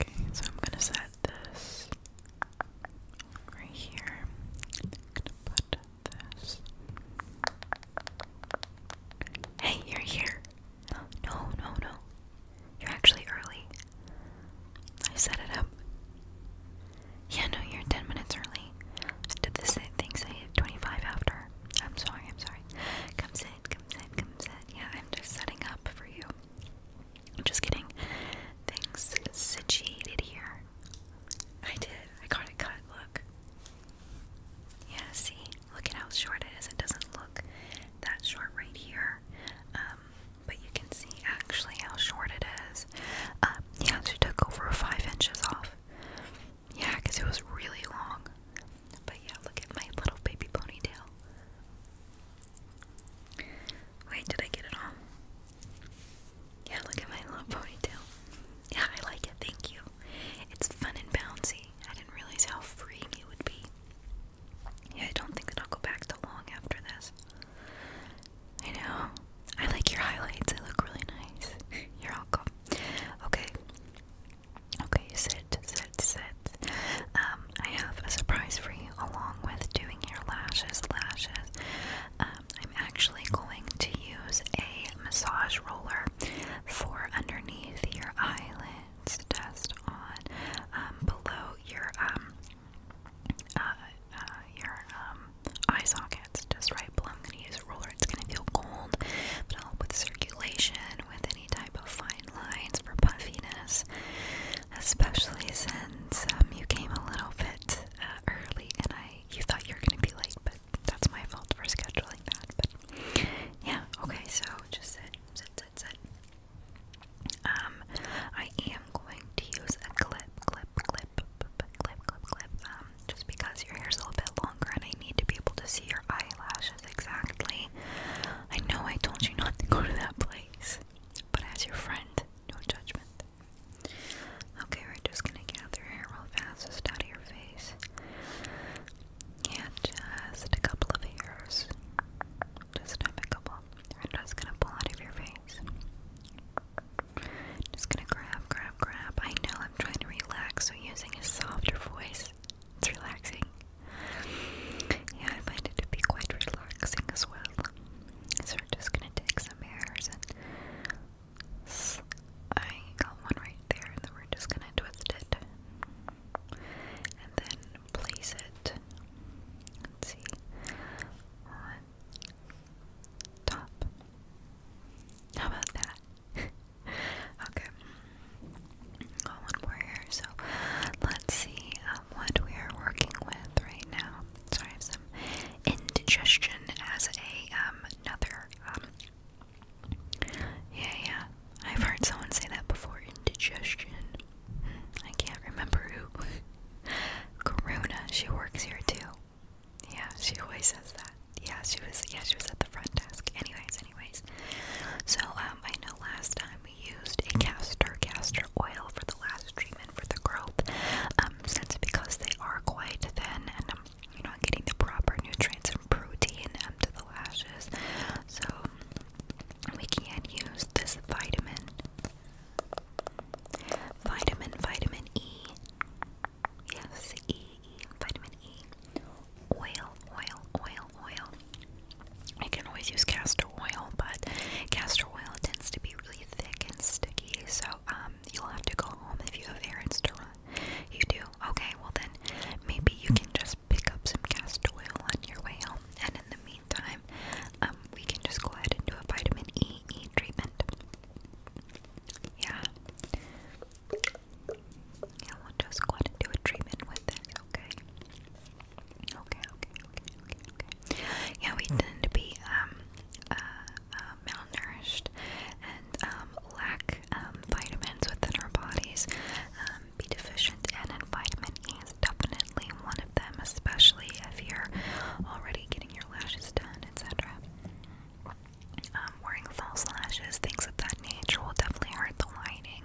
Okay, so I'm gonna set this right here. gonna put this. Hey, you're here! No, no, no. You're actually early. I set it up. Yeah, no, you're 10 minutes early. did this thing say 25 after. I'm sorry, I'm sorry. Come sit, come sit, come sit. Yeah, I'm just setting up for you. I'm just getting things situated here. I did. I got it cut. Look. Yeah, see? Look at how short it is. It doesn't look that short right here. Um, but you can see actually how short it is. Uh, yeah, she took over five inches off. Yeah, because it was really long. But yeah, look at my little baby ponytail. Wait, did I get it all? Yeah, look at my little ponytail. Yeah, I like it, thank you. It's fun and bouncy. I didn't realize how freeing it would be. Yeah, I don't think I'll go back to long after this. I know. I like your highlights, they look really nice. You're welcome. Okay. Okay, sit, sit, sit. Um, I have a surprise for you along with doing your lashes, lashes. Um, I'm actually going to use a massage roller for underneath your eyelids, just on um, below your uh, uh, your eye sockets, just right below. I'm going to use a roller. It's going to feel cold, but it'll help with circulation, with any type of fine lines for puffiness, especially since um, you came a little bit uh, early and I you thought you were gonna be late, but that's my fault for scheduling that. But yeah, okay, so just sit, sit, sit, sit. Um, I am going to use a clip, clip, clip, clip, clip, clip, clip. Um, just because your hair's a little bit longer and I need to be able to see your eyelashes exactly. I know I told you not to go to that place, but as your friend, no judgment. Okay, we're just gonna gather hair real fast, just out of your face. Yeah, just a couple of hairs. Just a couple. We're just gonna pull out of your face. Just gonna grab, grab, grab. I know I'm trying to relax, so using a softer voice it's relaxing. Yeah, I find it to be quite relaxing as well. So we're just gonna take some hairs I got one right there, and then we're just gonna twist it and then place it. see on top. How about that? okay. Got one more here, so let's see um, what we are working with right now. So I have some indigestion as a um another um. Yeah, yeah, I've heard someone say that before. Indigestion. I can't remember who. Corona she works here too. Yeah, she always says that. Yeah, she was. Yeah, she was at the front desk. Anyways, anyways. So, um, I know last time we used a castor castor oil for the last treatment for the growth. Um, since because they are quite thin and um, you're not getting the proper nutrients and protein into um, the lashes, so we can use this vitamin, vitamin, vitamin E. Yes, E, E, vitamin E. Oil, oil, oil, essential oil. I can always use castor oil, but castor oil tends to be really thick and sticky, so um, you'll have to go home if you have errands to run. You do? Okay, well then, maybe you can just pick up some castor oil on your way home, and in the meantime, um, we can just go ahead and do a vitamin E, e treatment. Yeah. Yeah, we'll just go ahead and do a treatment with it, okay? Yeah, we tend to be um, uh, uh, malnourished and um, lack um, vitamins within our bodies. be deficient and in vitamin is definitely one of them, especially if you're already getting your lashes done, etc. wearing false lashes, things of that nature will definitely hurt the lining.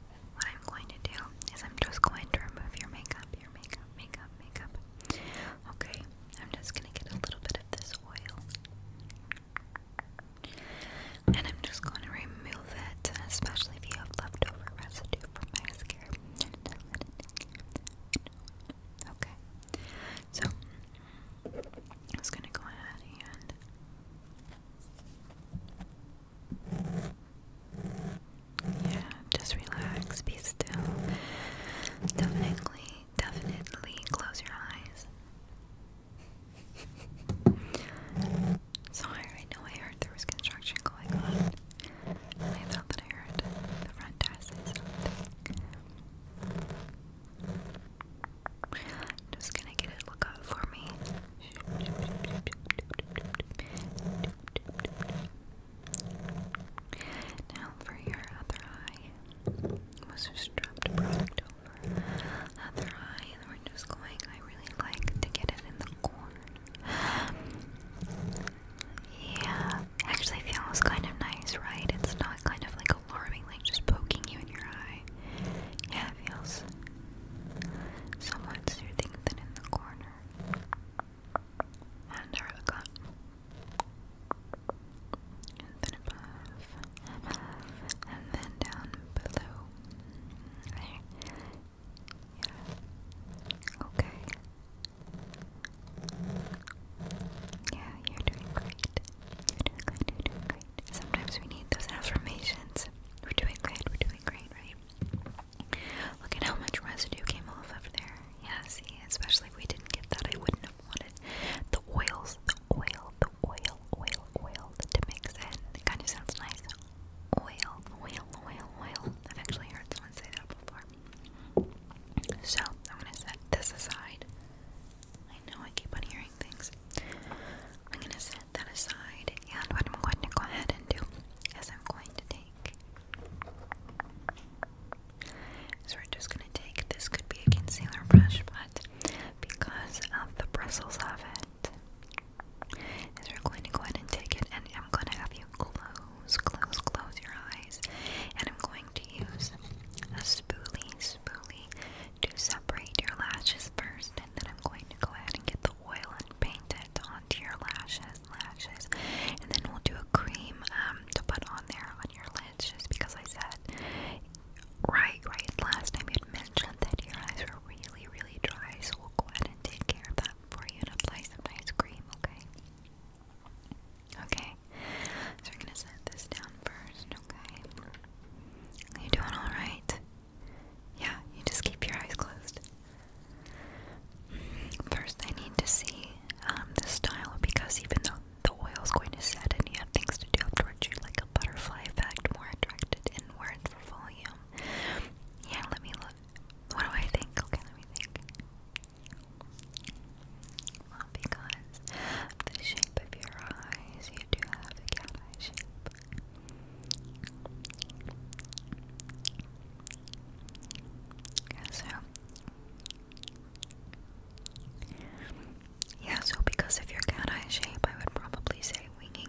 what I'm going to do is I'm just going to remove your makeup, your makeup, makeup, makeup. Okay, I'm just going to get a little bit of this oil. And I'm just going to remove it, especially if you have leftover residue from mascara. Okay, so I'm just going to go ahead and yeah, just relax, be still. Definitely, definitely close your eyes. Sorry, I know I heard there was construction going on. I thought that I heard the front desk say just gonna get it look up for me. Now for your other eye. Was just dropped product over other eye, and we're just going. I really like to get it in the corner. Yeah, actually feels kind of nice, right? It's not kind of like alarming, like just poking you in your eye. Yeah, it feels somewhat soothing than in the corner. And her gut. And then above. And then down below. Yeah. Okay. Yeah, you're doing great. You're doing great, you're doing great. Sometimes we need those affirmations. We're doing great, we're doing Look at how much residue came off of there. Yeah, see, especially if we didn't get that, I wouldn't have wanted the oils, the oil, the oil, oil, oil to mix in. It kind of sounds nice. Oil, oil, oil, oil. I've actually heard someone say that before. So, I'm gonna set this aside. I know I keep on hearing things. I'm going to set that aside, and what I'm going to go ahead and do is I'm going to take. So we're just going to take this could be a concealer brush, but because of the bristles of it, is we're going to go ahead and take it, and I'm going to have you close, close, close your eyes, and I'm going to use a spoolie, spoolie to separate your lashes first, and then I'm going to go ahead and get the oil and paint it onto your lashes, lashes, and then we'll do a cream um, to put on there on your lids, just because I said, right, right, last time you'd mentioned that your eyes were really, really dry, so we'll go ahead and take care of that for you and apply some nice cream, okay? Okay, so we're gonna set this down first, okay? Are you doing alright? Yeah, you just keep your eyes closed. First, I need to see um, the style because even though the oil is going to set and you have things to do afterwards, you like a butterfly effect, more attracted inward for volume. Yeah, let me look. What do I think? Okay, let me think. because the shape of your eyes, you do have a cat eye shape. So yeah, so because of your cat eye shape, I would probably say winging.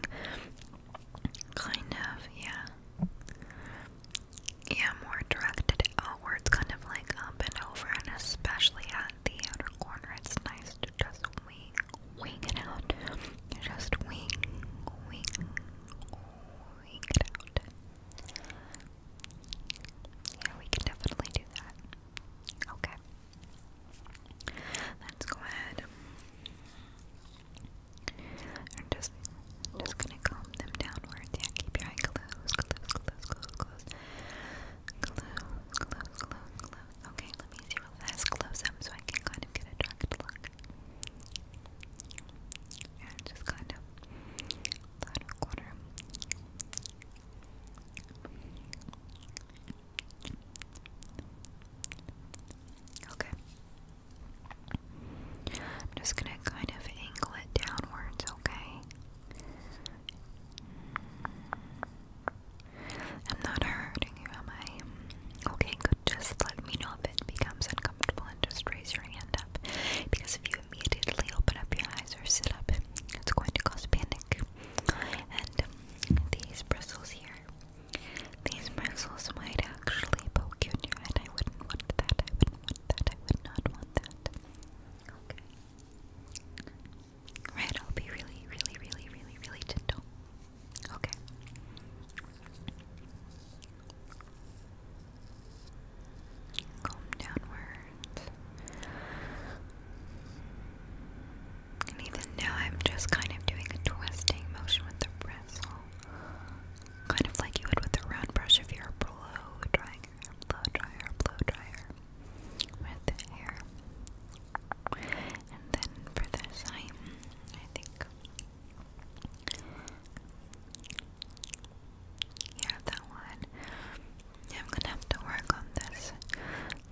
Kind of, yeah. Yeah, more directed outwards, kind of like up and over, and especially at the outer corner, it's nice to just wing, it out. Just wing, wing, wing it out. Yeah, we can definitely do that. Okay. Let's go ahead. i just, I'm just gonna calm them downwards. Yeah, keep your eye closed, close, close, close, close. Close, close, close, close. Okay, let me do a fast close up so I can kind of get a dark look. And just kind of that corner. Okay. I'm just gonna kind of angle it downwards, okay? I'm not hurting you, am I? Okay, good. Just let me know if it becomes uncomfortable and just raise your hand up. Because if you immediately open up your eyes or sit up, it's going to cause panic. And these bristles here, these bristles might actually poke in your head. I wouldn't want that. I wouldn't want that. I would not want that. Okay. Right, I'll be really, really, really, really, really gentle. Okay. Calm downward. And even now, I'm just kind of doing a twisting motion with the bristle. Kind of like you would with a round brush if you're blow drying, blow dryer, blow dryer with hair. And then for this, i I think. Yeah, that one. I'm gonna have to work on this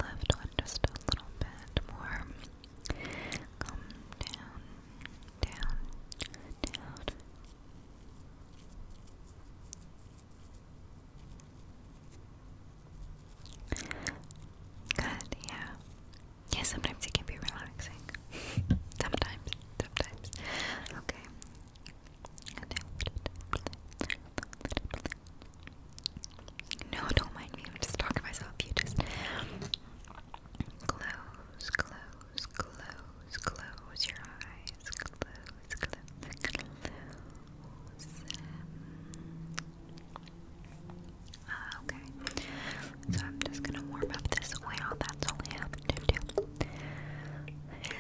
left one just a little bit more. down, down, down. Good, yeah yeah, sometimes it can be relaxing. sometimes, sometimes. Okay. No, don't mind me. I'm just talking to myself. You just close, close, close, close your eyes. Close, close, close. Ah, okay. So I'm just gonna warm up this oil. That's all I have to do.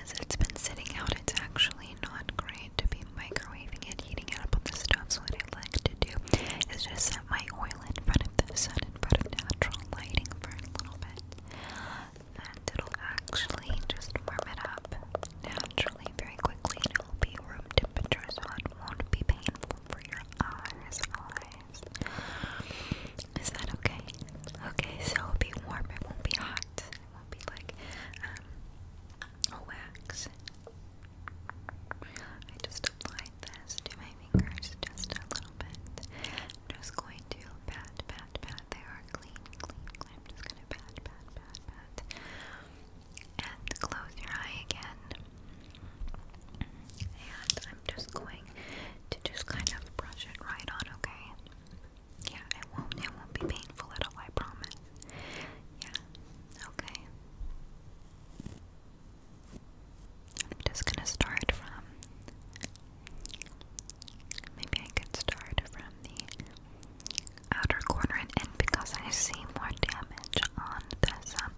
As it's been sitting out, it's actually not great to be microwaving it, heating it up on the stove. So what I like to do is just set my oil in front of the sun, in front of natural lighting for a little bit, and it'll actually just warm it up naturally very quickly. And it'll be room temperature, so it won't be painful for your eyes, eyes. Is that okay? Okay, so it'll be warm. It won't be hot. It won't be like um, a wax. I just applied this to my fingers just a little bit. I'm just going to pat, pat, pat. They are clean, clean, clean. I'm just gonna pat, pat, pat, pat and close your eye again. And I'm just going to just kind of brush it right on, okay? Yeah, it won't it won't be painful at all, I promise. Yeah, okay. I'm just gonna start from maybe I could start from the outer corner and end because I see more damage on this um,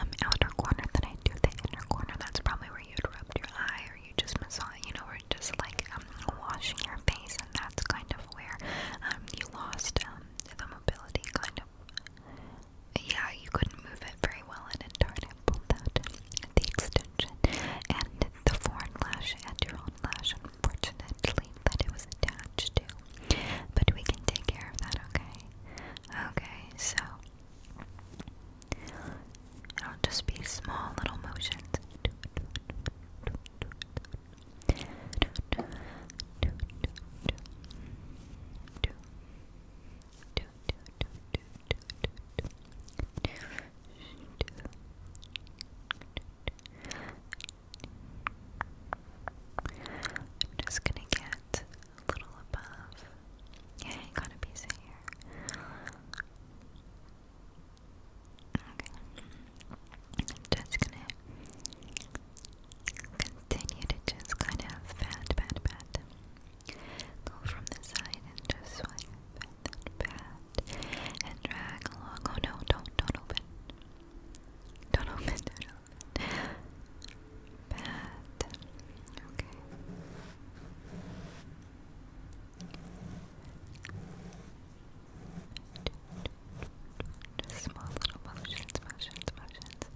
um, outer corner than I do the inner corner. That's probably where you'd rubbed your eye or you just massage, you know, or just like um, washing your face, and that's kind of where um, you lost um, the mobility, kind of. Yeah, you couldn't move it very well, and it turned and pulled out the extension and the foreign lash and your own lash, unfortunately that it was attached to. But we can take care of that, okay? Okay, so it'll just be small little motions. I'm just gonna get a little above. Yeah, got a piece of Okay. I'm just gonna continue to just kind of pat, pat, pat. Go from the side and just swipe, pat, pat, and drag along. Oh no, don't, Don't open, don't open. Okay. small little motions, motions, motions.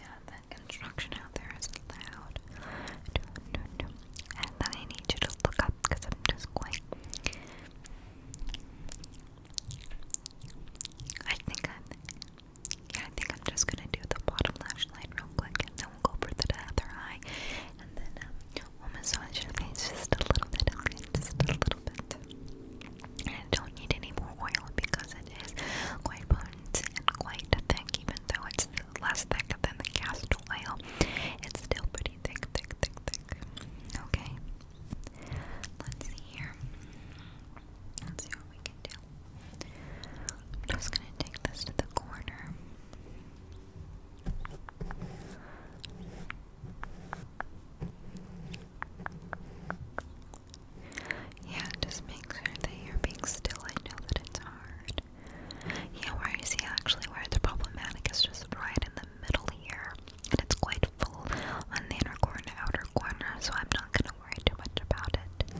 Yeah, that construction out there is loud. And then I need you to look up because I'm just going. I think I'm. Yeah, I think I'm just gonna do the bottom lash line real quick, and then we'll go for the other eye, and then um, we'll massage your face just a little bit, okay? Just a little bit. And I don't need any more oil because it is quite potent and quite thick, even though it's less thick than the castor oil. It's still pretty thick, thick, thick, thick. Okay. Let's see here. Let's see what we can do. I'm just gonna take this to the corner. Yeah, just make sure that you're being still. I know that it's hard. Yeah, where you actually where the problematic is just right in the middle here and it's quite full on the inner corner, outer corner, so I'm not gonna worry too much about it.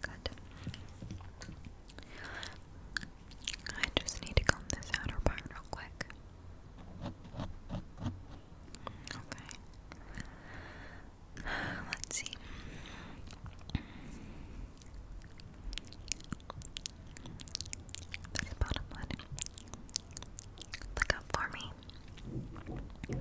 Good. I just need to comb this outer part real quick. Okay. Let's see. This bottom one. Look up for me.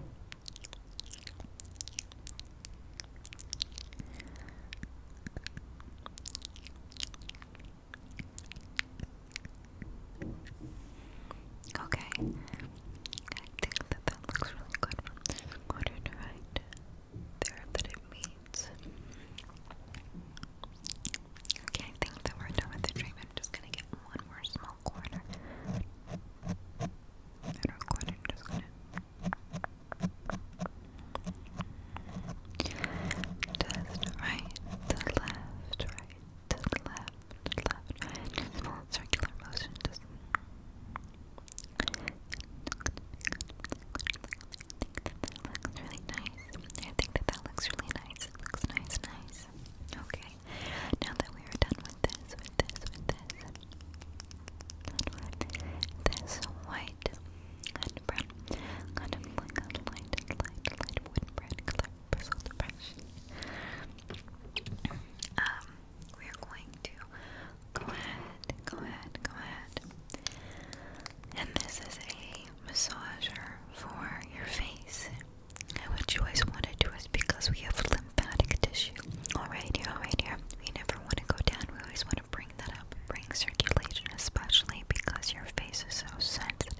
Okay. I think that that looks really good from this corner to there that it meets. Okay, I think that we're done with the treatment. just gonna get one more small corner. Middle corner, just gonna just right to left, right to left, left, Just small circular motion. Just that looks really nice. I think that that looks really nice. It looks nice, nice. Okay, now that we are done with this, with this, with this, with this white and brown, kind of like a light, light, light wood bread color bristle depression. Um, we are going to go ahead, go ahead, go ahead. And this is a massager for your face. And what you always want to do is because we have lymphatic tissue. Alright here, alright here. We never want to go down. We always want to bring that up. Bring circulation, especially because your face is so sensitive.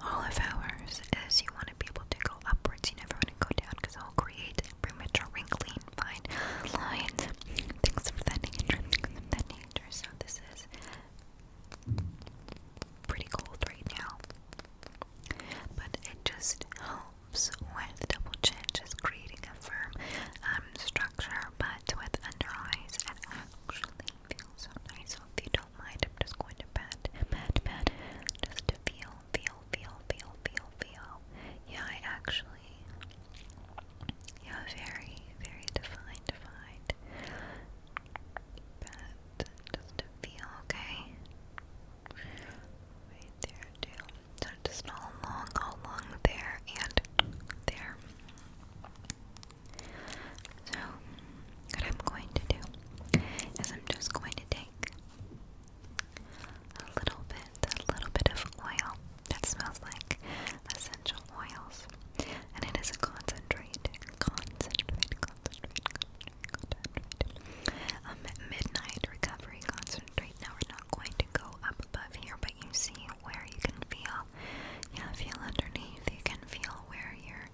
All of ours is you want to be able to go upwards. You never want to go down because it'll create premature wrinkling, fine lines, things of that nature, So this pretty cold right now. But it just helps with double chin, just creating a firm um, structure. But with under eyes, it actually feels nice. So if you don't mind, I'm just going to pat, pat, pat, just to feel, feel, feel, feel, feel, feel. Yeah, I actually yeah, very, very defined, defined. But just to feel okay. Right there too. So just all along, all along there and there. So what I'm going to do is I'm just going to take a little bit, a little bit of oil. That smells like essential oils, and it is a concentrate, concentrate, concentrate, concentrate, concentrate. Um, midnight recovery concentrate. Now we're not going to go up above here, but you see where you can feel, yeah, feel underneath. You can feel where your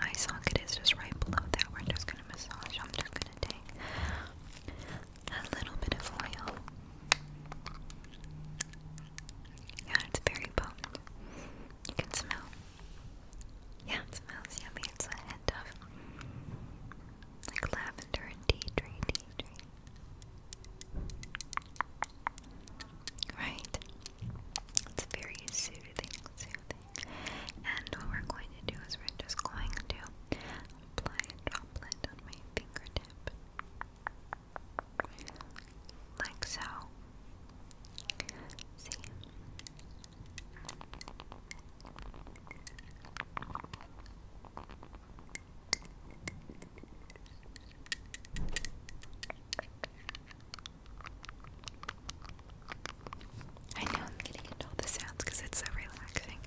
eye socket is, just right below that. We're just gonna massage. I'm just gonna take a little bit of oil. Yeah, it's very potent. You can smell. Yeah, it smells yummy. It's a hint of like lavender and tea tree, tea tree. Right. It's very soothing, soothing. And what we're going to do is we're just going to apply a droplet on my fingertip like so. See? I know I'm getting into all the sounds because it's so relaxing.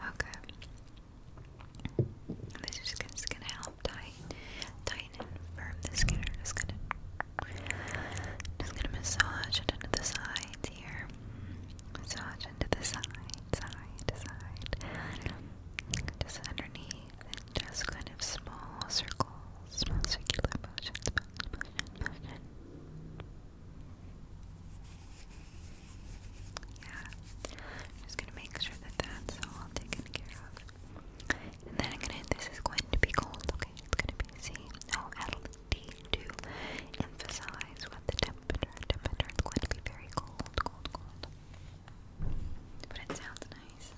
Okay. This is gonna, just gonna help tighten, tighten and firm the skin. I'm just gonna, just gonna massage it into the sides here. Massage into the side, side, side. Just underneath, and just kind of small circles, small circular motions, motion, motion. Yeah, I'm just gonna make sure that that's all taken care of. And then I'm gonna, this is going to be cold, okay? It's gonna be C O L D to emphasize what the temperature, temperature, it's going to be very cold, cold, cold. But it sounds nice.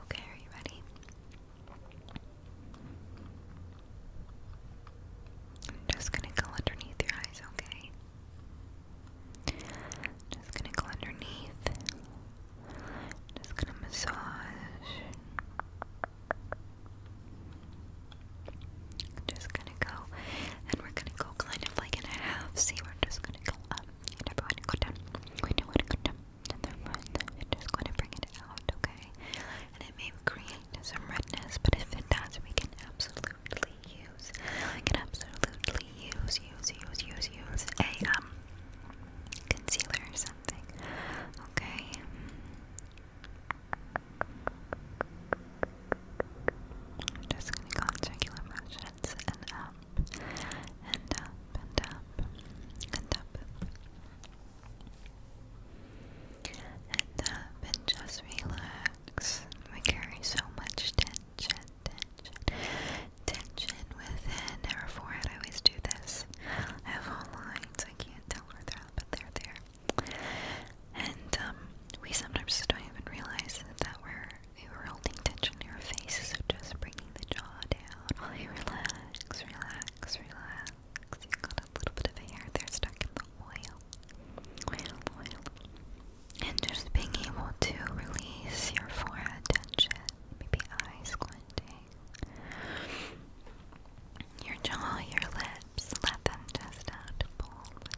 Okay, are you ready? I'm just gonna go underneath your eyes, okay? Just gonna go underneath. Just gonna massage. Just gonna go, and we're gonna go kind of like in a half. See, we're just gonna go up, and we're gonna go down. We do want to go down, and we're just gonna bring it out, okay? And it may create some redness, but if it does, we can absolutely. Use I can absolutely use, use, use, use, use a um, concealer or something. Okay. I'm just gonna go in circular motions and up and up and up and up and up and just relax. We carry so much tension tension, tension within her forehead. I always do this. I have all lines. I can't tell where they're but they're there. And um, we sometimes just don't even realize that we're we were holding tension in your faces. So just bringing the jaw down while you relax, relax, relax. You got a little bit of hair there stuck in the oil. And just being able to release your forehead tension, maybe eyes squinting, your jaw, your lips, let them just out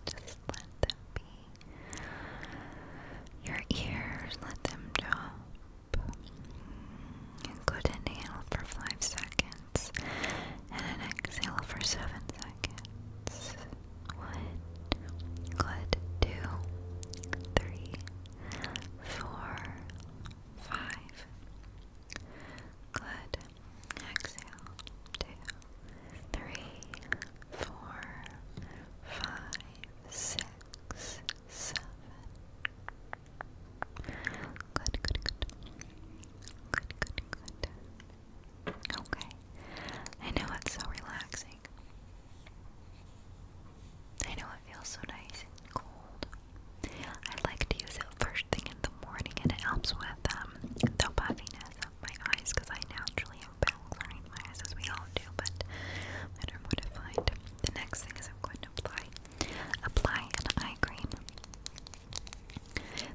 just let them be. Your ears, let them drop. And good inhale for five seconds, and an exhale for seven seconds. One, good, two, three, four, five. Good. Exhale. Two, three, four, five, six, seven. Good, good, good. Good, good, good. Okay. I know it's so relaxing. I know it feels so nice and cold. I like to use it first thing in the morning and it helps with um, the puffiness of my eyes because I naturally have bags around my eyes as we all do, but I don't to find. The next thing is I'm going to apply, apply an eye cream.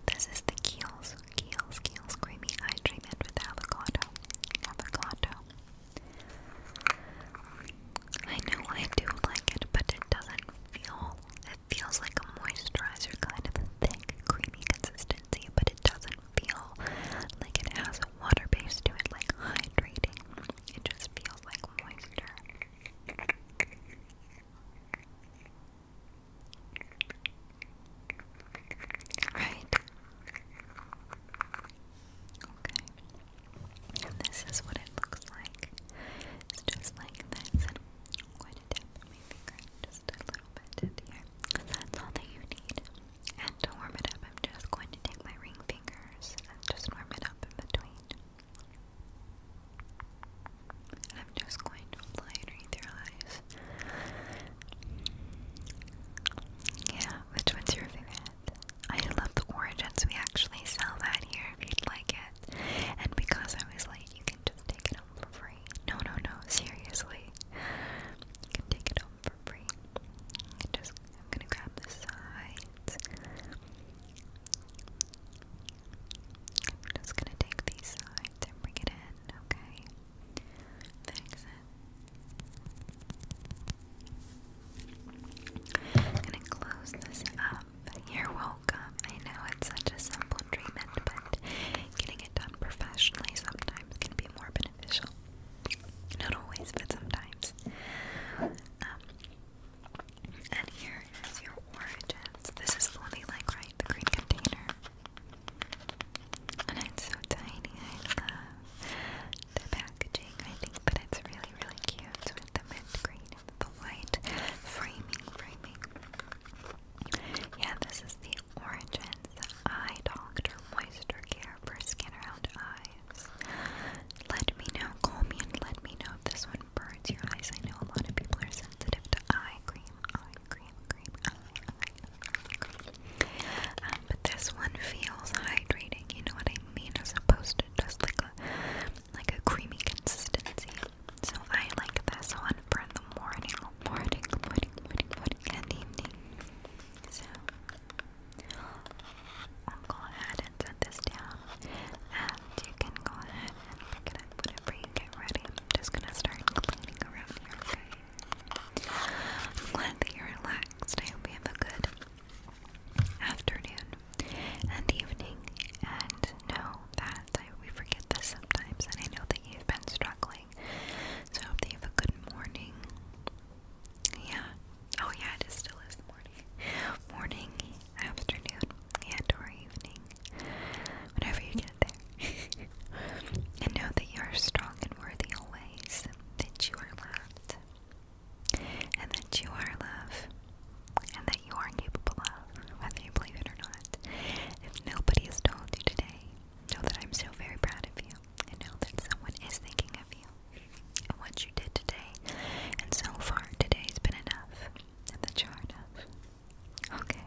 This is the Kiehl's Kiehl's Kiehl's Creamy Eye with Avocado. Avocado. I know I do like it, but it doesn't feel. It feels like a moisturizer, kind of thick, creamy consistency, but it doesn't feel like it has a water base to it, like hydrating. It just feels like moisture. Right. Okay. And this is what it looks like. It's just like this. I'm going to dip my finger just a little bit here. that's all that you need. And to warm it up, I'm just going to take my ring fingers and just warm it up in between. And I'm just going to apply it right through your eyes. Yeah, which one's your favorite? I love the origins. We actually sell that here if you'd like it. And because I was late, you can just take it home for free. No, no, no, seriously. You can take it home for free. just, I'm gonna grab the sides. I'm just gonna take these sides and bring it in, okay? Fix I'm gonna close this up. You're welcome. I know it's such a simple treatment, but getting it done professionally sometimes can be more beneficial. Not always, but sometimes. Um, and here is your origins. This is fully like right the green container. And it's so tiny. I love the packaging, I think, but it's really, really cute with the mint green the white framing, framing. Yeah, this is the Origins Eye Doctor Moisture Care for Skin Around Eyes. Let me know, call me and let me know if this one burns your eyes. I know a lot of people are sensitive to eye cream, eye cream. Um, but this one feels hydrating. You know what I mean, as opposed to just like a like a creamy consistency. So I like this one for the morning, morning, morning, morning, morning, and So go ahead and set this down, and you can go ahead and pick it up whenever get ready. I'm just gonna start cleaning around here, I'm glad that you're relaxed. I hope you have a good afternoon and evening. And know that we forget this sometimes, and I know that you've been struggling. So I hope that you have a good morning. Yeah. Oh, yeah, it is still is morning. Morning, afternoon, and or evening. Whenever you and know that you are strong and worthy always, that you are loved, and that you are love, and that you are capable of, whether you believe it or not. If nobody has told you today, know that I'm so very proud of you, and know that someone is thinking of you, and what you did today, and so far today's been enough, and that you are enough. Okay.